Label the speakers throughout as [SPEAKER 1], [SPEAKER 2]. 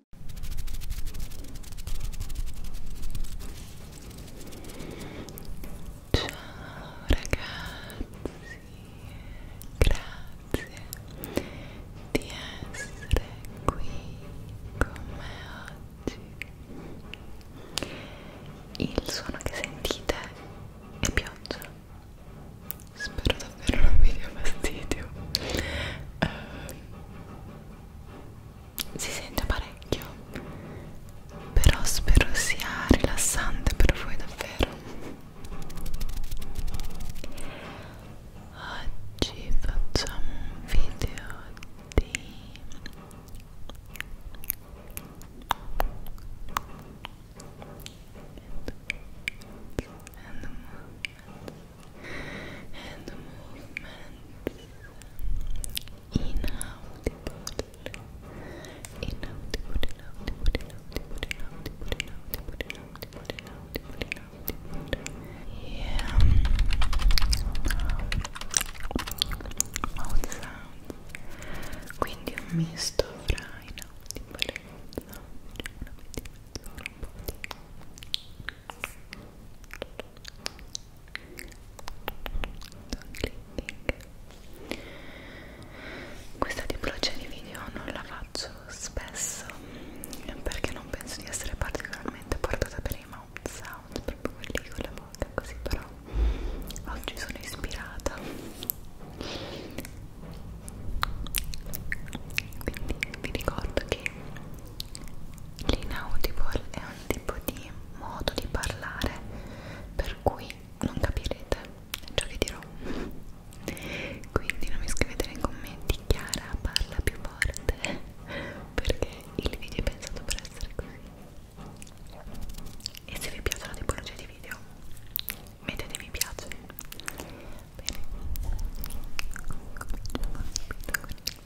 [SPEAKER 1] Ciao ragazzi, grazie di essere qui con me oggi. Il suono che sentite è pioggia. Spero davvero non vi dia fastidio. Uh, si sente parecchio però spero sia rilassante per voi davvero oggi facciamo un video di and the moon and
[SPEAKER 2] movements inaudible, inaudible, inaudible, inaudible, inaudible, inaudible, inaudible, inaudible, inaudible. Yeah. Mouth sounds. Quindi un misto fra inaudibile, no, una mezz'ora, un po' di
[SPEAKER 3] questa tipologia di video non la faccio spesso perché
[SPEAKER 4] non penso di essere particolarmente portata per i mouth sound proprio quelli con la bocca così però oggi sono ispirata quindi vi ricordo che L'inaudible è un tipo di modo di parlare per cui non capirete ciò che dirò. Quindi non mi scrivete nei commenti Chiara parla più forte perché il video è pensato per essere così. E se vi piace la tipologia di video, mettete mi piace. Bene. Cominciamo subito con il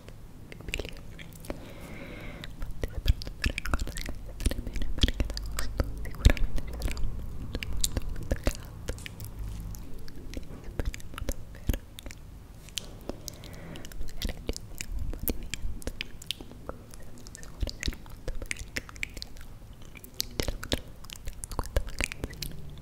[SPEAKER 4] inconcepibili infatti soprattutto per ancora scattare bene perché ad agosto sicuramente ci sarà un mondo molto caldo e speriamo davvero magari ci siamo un po' di vento sicuramente molto bene quindi no, ce la potremo questa vacanzina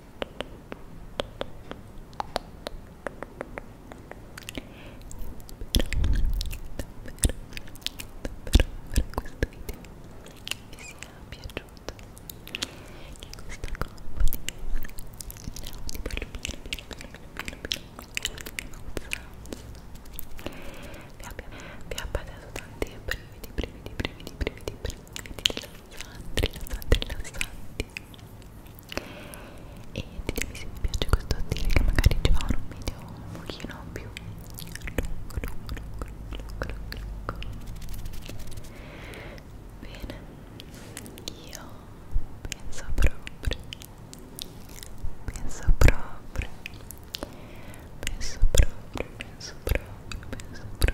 [SPEAKER 4] rilassanti rilassanti rilassanti e ditemi se vi piace questo stile che magari ci farò un video un pochino più lungo lungo lungo lungo lungo lungo bene io penso proprio penso proprio penso proprio penso proprio penso proprio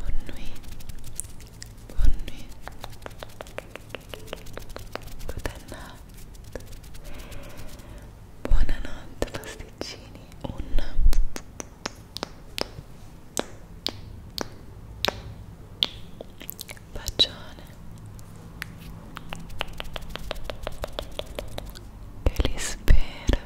[SPEAKER 4] Bonne nuit. Bonne nuit. Good night. Buonanotte pasticcini. Un bacione. Che li spera.